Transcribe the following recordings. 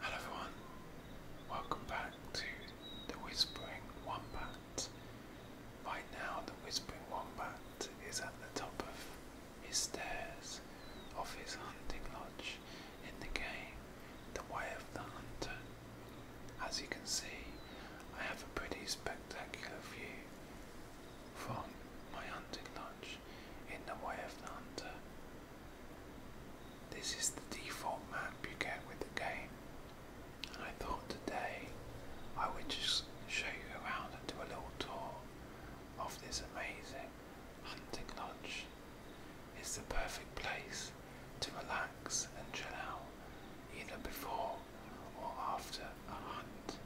Hello everyone, welcome back to The Whispering Wombat. Right now the Whispering Wombat is at the top of his stairs of his hunting lodge in the game, The Way of the Hunter. As you can see, I have a pretty spectacular view from my hunting lodge in The Way of the Hunter. This is the default map you get with the game, and I thought today I would just show you around and do a little tour of this amazing hunting lodge. It's the perfect place to relax and chill out either before or after a hunt.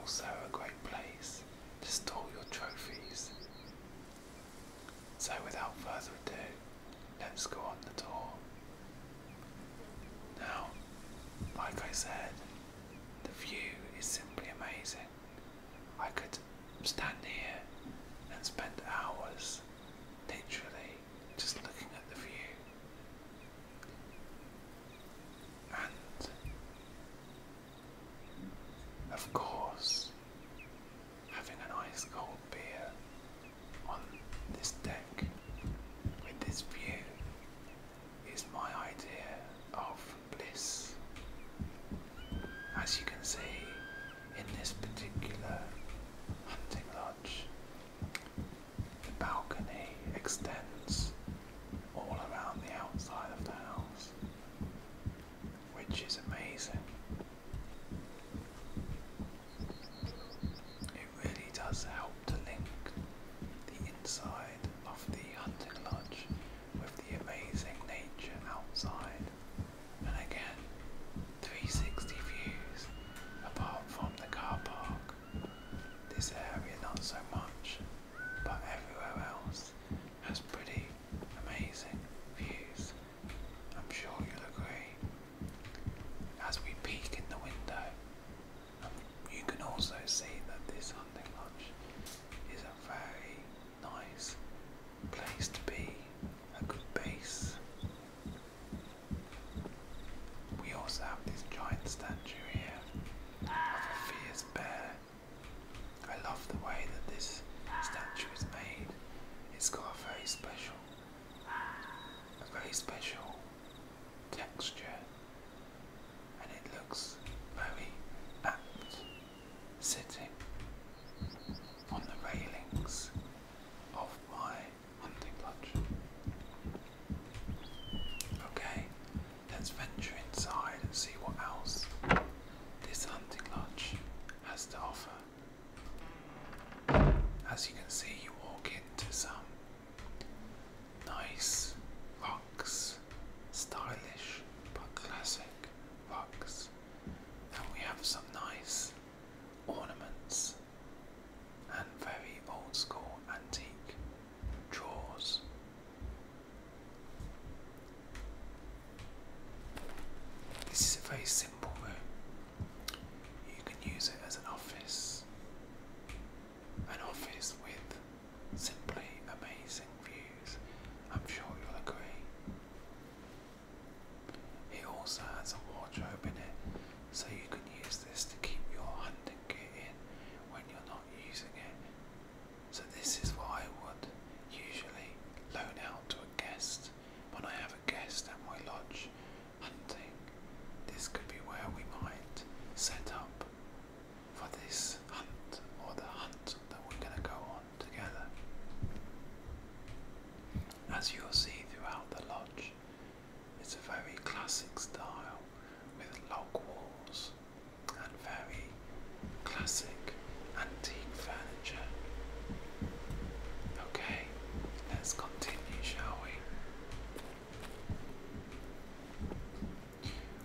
Also, a great place to store your trophies so without further ado, let's go on the tour. Now, like I said, the view is simply amazing. I could stand here and spend hours literally just looking at the view. And of course, having an ice cold beer on this deck with this view is my idea of bliss. As you can see in this particular hunting lodge, the balcony extends all around the outside of the house which is amazing. It really does help to link the inside of the hunting lodge with the amazing nature outside. And again, 360 views apart from the car park. This area not so much, but everywhere else has pretty amazing views. I'm sure you'll agree. As we peek in the window, um, you can also see that this hunting lodge is a very nice place to be, a good base. We also have this giant statue here of a fierce bear I love the way that this statue is made. It's got a very special, a very special texture, and it looks very apt sitting on the railings of my hunting lodge. Okay, let's venture inside and see what else this hunting lodge has to offer. As you can see, you walk into some nice rocks, stylish but classic rocks, and we have some nice ornaments and very old school antique drawers this is a very simple room. You can use it as an office. An office with simply amazing views, I'm sure you'll agree. It also has a wardrobe in it, so you can use this to keep your hunting gear in when you're not using it so this is what I would usually loan out to a guest when I have a guest at my lodge hunting. This could be where we might set up for this hunt or the hunt that we're going to go on together. As you'll see throughout the lodge, it's a very classic style with log walls and very classic antique furniture. Okay, let's continue, shall we?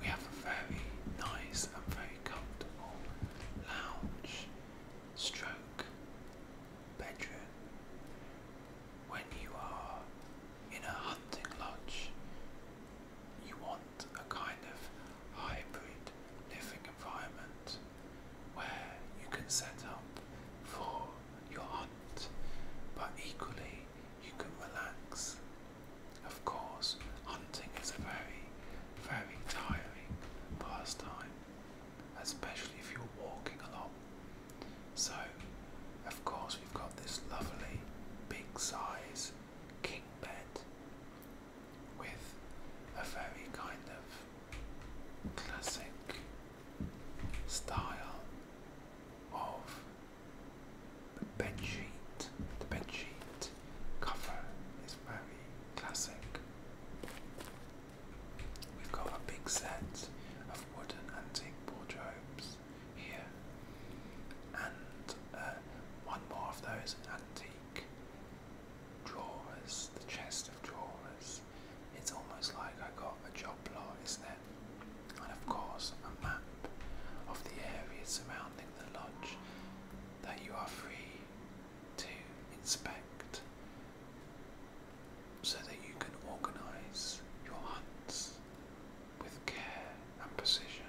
We have a very nice and very comfortable lounge stroke bedroom. When you are in a hunting lodge, you want a kind of hybrid living environment where you can set up for your hunt, but equally you can relax. Of course, hunting is a very, very tiring pastime, especially if you're walking a lot. So, of course, we've got this lovely big size king bed with a very kind of classic style of bed sheet. The bed sheet cover is very classic. We've got a big set of wooden antique wardrobes here, and uh, one more of those antique drawers, the chest of drawers. It's almost like I got a job lot, isn't it? And of course, a map of the area surrounding the lodge that you are free to inspect so that you can organise your hunts with care and precision.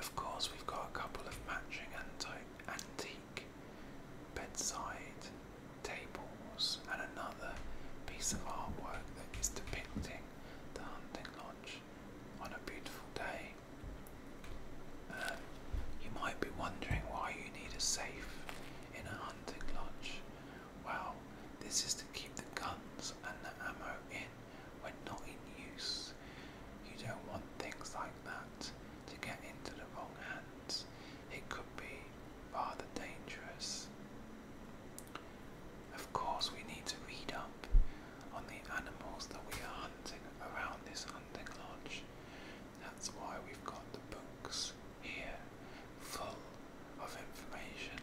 Of course, we've got a couple of matching antique bedside tables and another piece of artwork that is depicting the hunting lodge on a beautiful day. Um, you might be wondering why you need a safe in a hunting lodge. Well, this is to keep the guns and the ammo in when not in use. You don't want things like that to get into the wrong hands. It could be rather dangerous. Of course, we need to read up on the animals that we are hunting around this hunting lodge. That's why we've got the books here full of information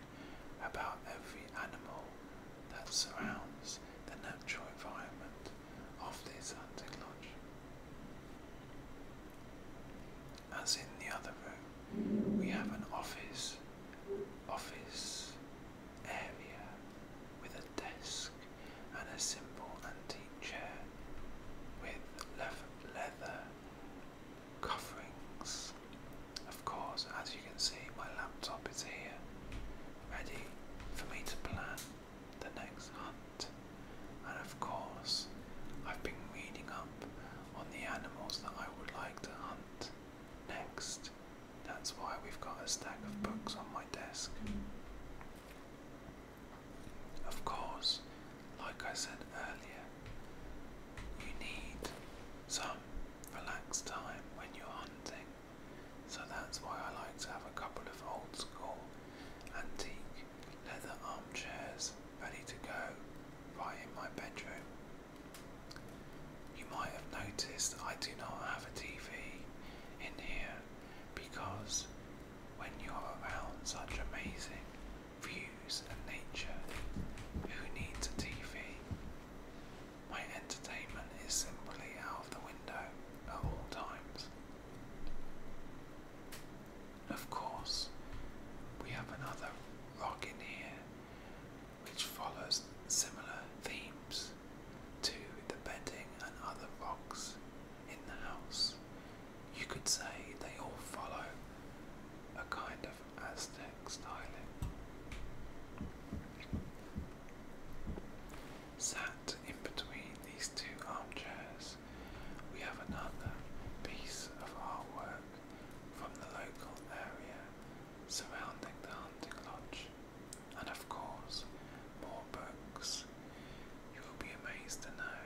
about every animal that surrounds the natural environment of this hunting lodge. As in the other room, we have an office, office area with a desk and a simple antique chair with leather coverings. Of course, as you can see, my laptop is here, ready for me to plan the next hunt. And of course, I've been reading up on the animals that I would like to hunt next. That's why we've got a stack of books on my desk. Of course, like I said earlier, you need some relaxed time when you're hunting. So that's why I like to have a couple of old school antique leather armchairs ready to go right in my bedroom. You might have noticed I do not have a TV in here because when you're around such amazing views and nature, who needs a TV my entertainment is simply out of the window at all times. Of course, we have another rock in here which follows similar themes to the bedding and other rocks in the house. You could say they all follow a kind of Aztec styling. Sat in between these two armchairs, we have another piece of artwork from the local area surrounding the hunting lodge, and of course, more books. You will be amazed to know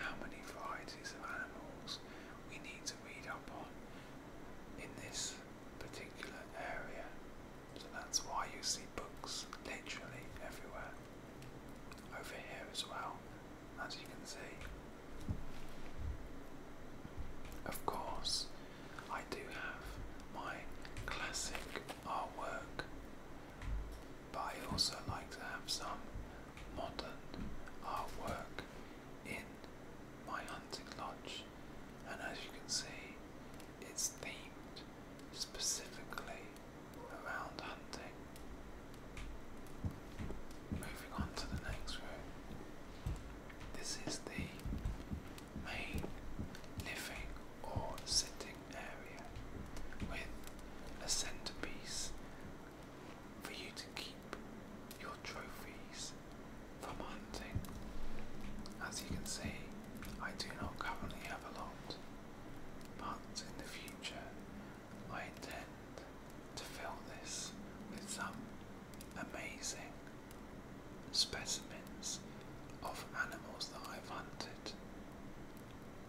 how many varieties of animals we need to read up on in this particular area. So that's why you see books literally everywhere. Over here as well, as you can see. Of course, I do have my classic artwork, but I also like to have some modern artwork in my hunting lodge, and as you can see, it's themed specifically around hunting. Moving on to the next room, this is the main living or sitting area with a centerpiece for you to keep your trophies from hunting. As you can see, I do not currently have a lot, but in the future, I intend to fill this with some amazing specimens of animals that I've hunted.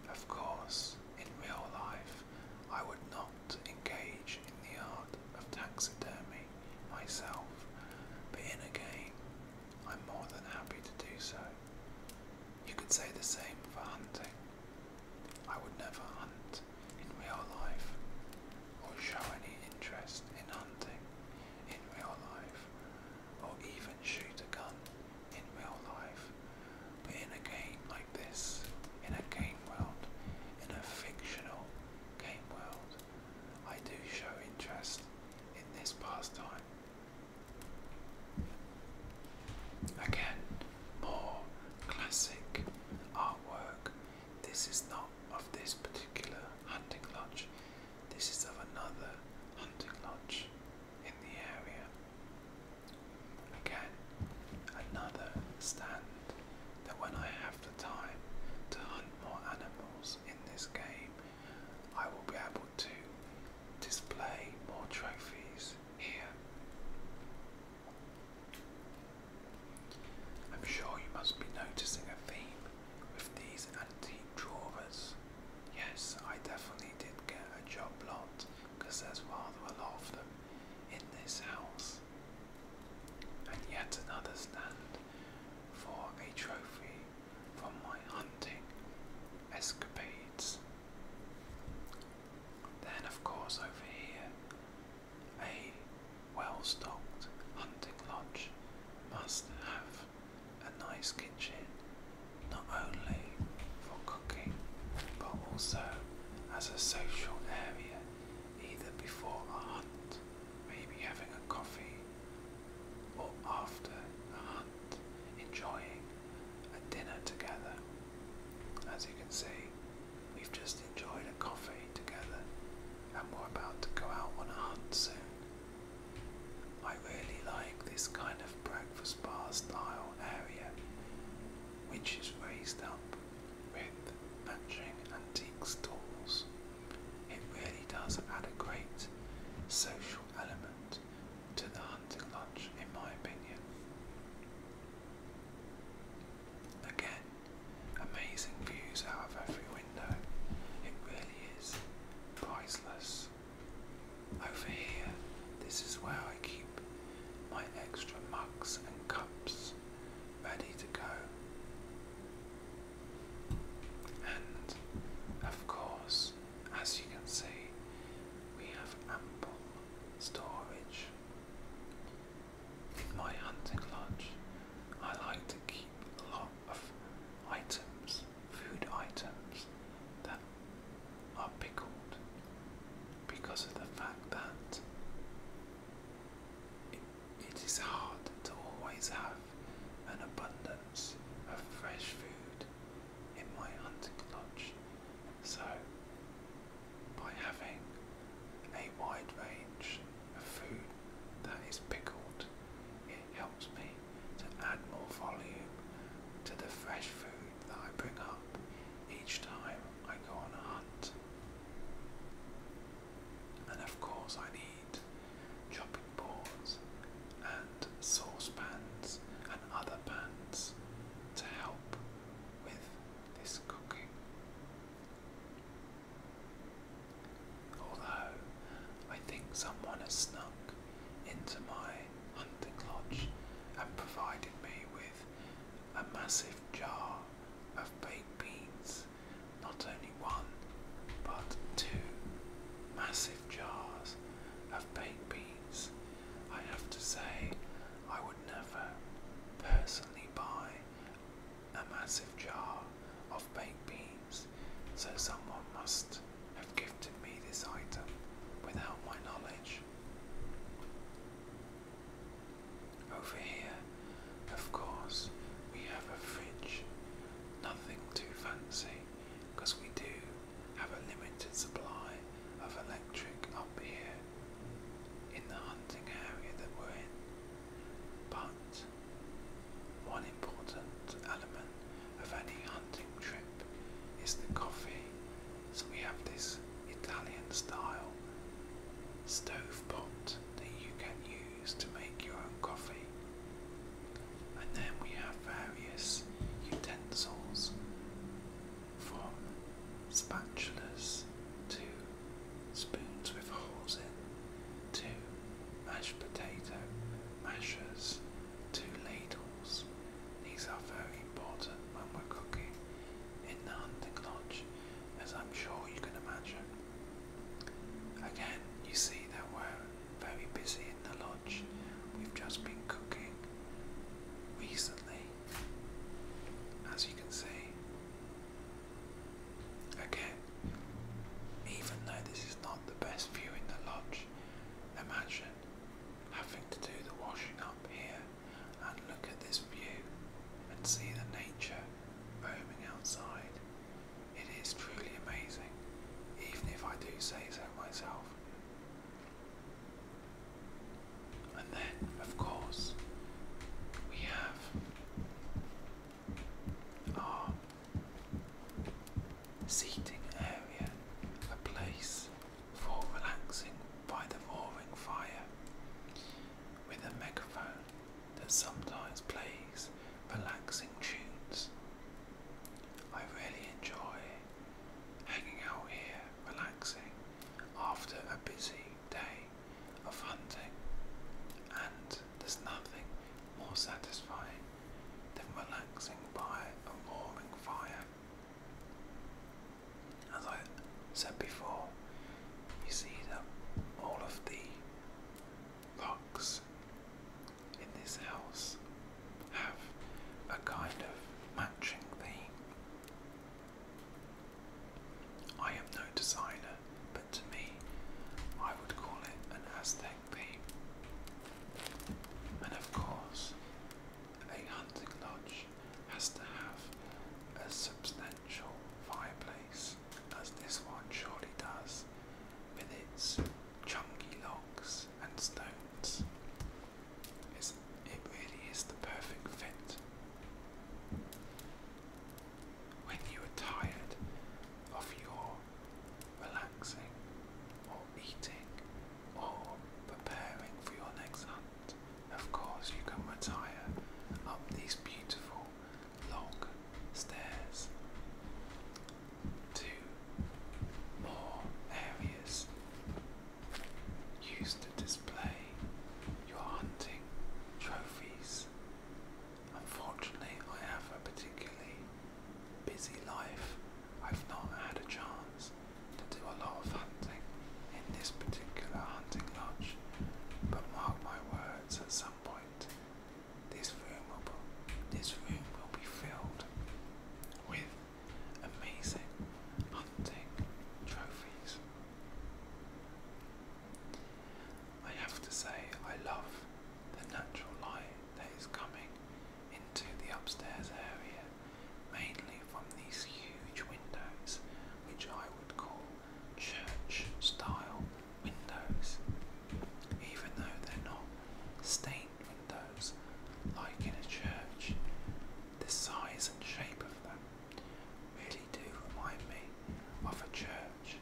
Of course, in real life, I would not. To engage in the art of taxidermy myself, but in a game, I'm more than happy to do so. You could say the same for hunting. I would never hunt in real life or show any interest in hunting in real life or even shoot a gun in real life. But in a game like this, in a game world, in a fictional game world, I do show interest in this pastime. Again, more classic artwork. This is not of this particular hunting lodge, this is of another hunting lodge in the area. Again, another stand that when I have the time to hunt more animals in this game, I will be able to display more trophies here. I'm sure you must be noticing a theme with these antique drawers. Yes, I definitely did get a job lot because there's rather a lot of them in this house. And yet another stand for a trophy from my hunting escapades. Then, of course, over here, a well stocked hunting lodge must have a nice kitchen, not only for cooking but also as a social area either before a hunt, maybe having a coffee, or after a hunt, enjoying a dinner together. As you can see, we've just enjoyed a coffee together and we're about to go out on a hunt soon. I really like this kind of breakfast bar style area, which is raised up with matching antiques tools. It really does add a great social element to the hunting lodge, in my opinion. Again, amazing views out of every window. It really is priceless. Over here, this is where I keep my extra mugs and cups ready to go. And of course, as you can see, we have ample storage. In my hunting lodge, I like to keep a lot of items, food items, that are pickled because of the fact that it is hard to always have an abundance of fresh food in my hunting lodge, so by having a wide range of food that is pickled, it helps me to add more volume to the fresh food that I bring up each time I go on a hunt. And of course, I need chopping boards and saucepans and other pans to help with this cooking. Although, I think someone has snuck into my hunting lodge and provided me with a massive jar of baked beans, not only one, but two massive jars of baked beans. I have to say, I would never personally buy a massive jar of baked beans, so someone must have gifted me this item without my knowledge. Over here, of course, we have a fridge. Nothing too fancy, because we do have a limited supply of electric up here in the hunting area that we're in. But one important element of any hunting trip is the coffee. So we have this Italian style stove pot that you can use to make your own coffee. And then we have various utensils from spatulas to spoons with holes in to mashed potato mashers to ladles. These are very important when we're cooking in the hunting lodge as I'm sure you can imagine. Again, you see that we're very busy in the lodge. We've just been cooking recently, as you can see. Again, even though this is not the best view in the lodge, imagine having to do the washing up here and look at this view and see the nature roaming outside. It is truly amazing, even if I do say so myself. And then, of course, we have our seating area, a place for relaxing by the roaring fire with a megaphone that sometimes plays relaxing tunes. I really enjoy hanging out here, relaxing after a busy day of hunting, and there's nothing more satisfying than relaxing by a warming fire as I said before, you see that all of the locks in this house have a kind of matching theme. I am no designer, but to me, I would call it an Aztec theme. And of course, a hunting lodge has to have a substantial potential fireplace, as this one surely does, with its chunky logs and stones. it really is the perfect fit. When you are tired of your relaxing or eating or preparing for your next hunt, of course, you can retire up these beautiful long stairs to more areas used to display your hunting trophies. Unfortunately, I have a particularly busy life. I've not had a chance to do a lot of hunting in this particular hunting lodge but mark my words, at some point, this room will be, this room will be filled with amazing hunting trophies. I have to say, I love the natural light that is coming into the upstairs area, mainly from these huge windows, which I would call church style windows, even though they're not stained windows like in a church. The size and shape of them really do remind me of a church,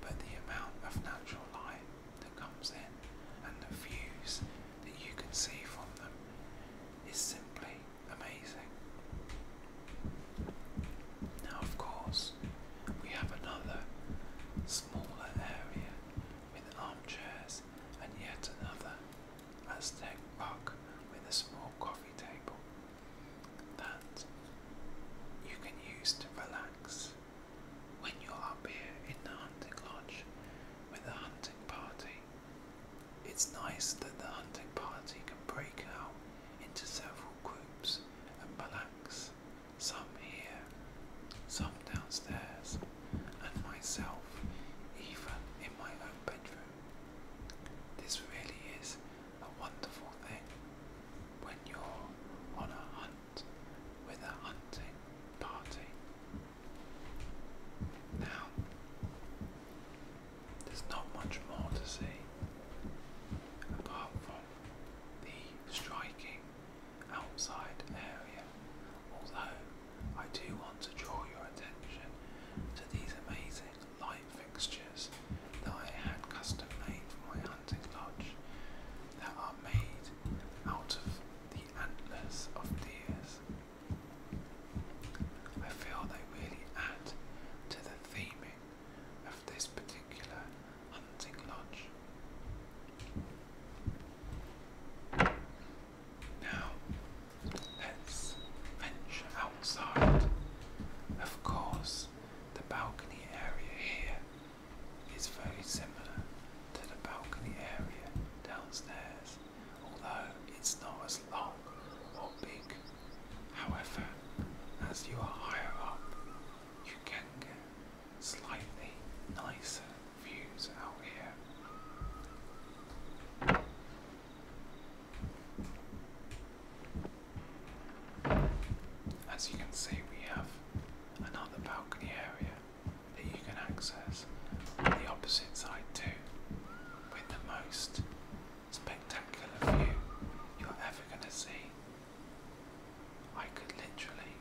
but the amount of natural light that comes in and the views that you can see from them is simply amazing. Now, of course, we have another smaller area with armchairs and yet another Aztec rug with a small coffee table that you can use to relax when you're up here in the hunting lodge with a hunting party. It's nice that the hunting party can break out into several groups and balanced, some here, some downstairs, and myself even in my own bedroom. This really is a wonderful thing when you're on a hunt with a hunting party. Now, there's not much more to see apart from the striking outside area, although I do want to draw your attention to these amazing light fixtures that I had custom made for my hunting lodge that are made out of the antlers of deers. I feel they really add to the theming of this particular hunting lodge. Now, let's venture outside. Of course, the balcony area here is very similar to the balcony area downstairs, although it's not as large small big. However, as you are higher up, you can get slightly nicer views out here. As you can see, we have another balcony area that you can access on the opposite side too, with the most spectacular view you're ever going to see. I could literally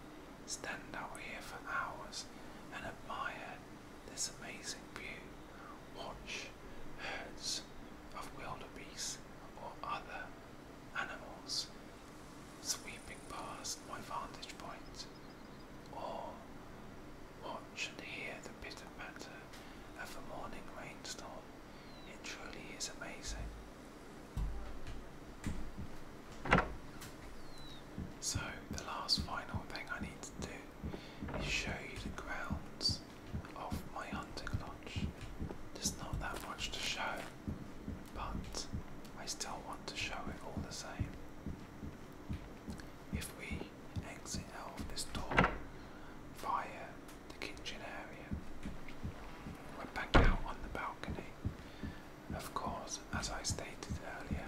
stand out here for hours and admire this amazing view, watch herds of wildebeest or other animals sweeping past my vantage point, or Watch and hear the pitter patter of a morning rainstorm. It truly is amazing. So, the last final thing I need to do is show you the grounds of my hunting lodge. There's not that much to show, but I still want to show it all the same if we exit out of this door via the kitchen area. We're back out on the balcony. Of course, as I stated earlier,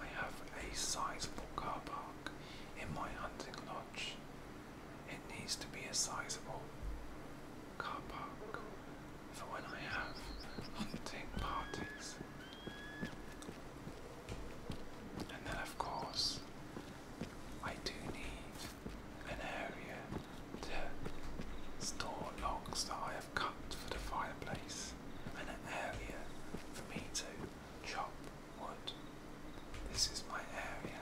I have a sizable car park in my hunting lodge. It needs to be a sizable car park for when I have hunting parties. And then, of course, I do need an area to store logs that I have cut for the fireplace and an area for me to chop wood. This is my area.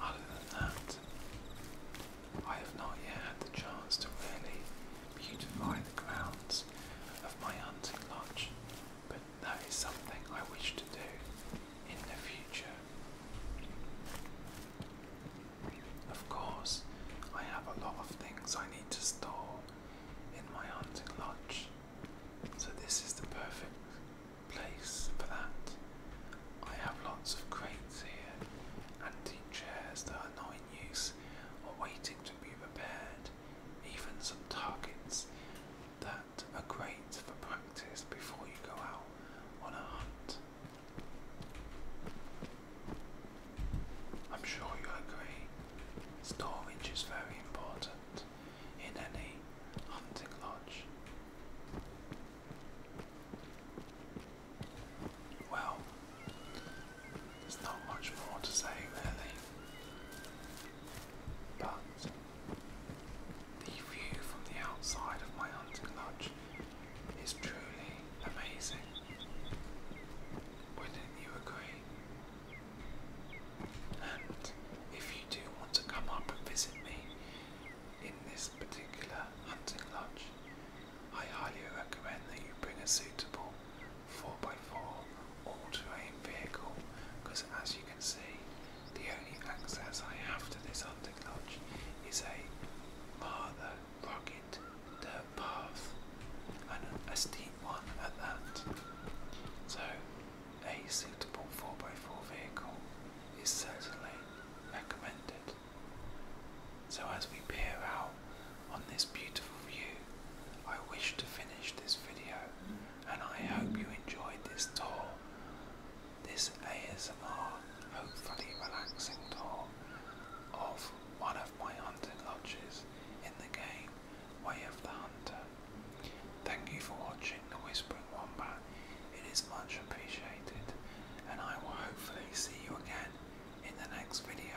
Other than that, I have not yet had the chance to really beautify the grounds of my hunting lodge, but that is something I wish to do in the future. Of course, I have a lot of things I need to store in my hunting lodge, so this is the perfect place for that. I have lots of crates here, antique chairs that are not in use are waiting to be repaired, even some targets that are great for practice before you go out on a hunt. I'm sure you agree, storage is very important in any hunting lodge. Well, there's not much more to say really. But the view from the outside of my hunting lodge is truly amazing. Wouldn't you agree? And if you do want to come up and visit me in this particular hunting lodge, I highly recommend that you bring a suitable 4x4 all-terrain vehicle because as you can see the only access I have to this hunting lodge is a rather rugged dirt path and a steep one at that. So a suitable 4x4 vehicle is certainly recommended. So as we peer out on this beautiful view. I wish to finish this video and I hope you enjoyed this tour. This ASMR, hopefully relaxing tour of one of my hunting lodges in the game Way of the Hunter. Thank you for watching The Whispering Wombat. It is much appreciated and I will hopefully see you again in the next video.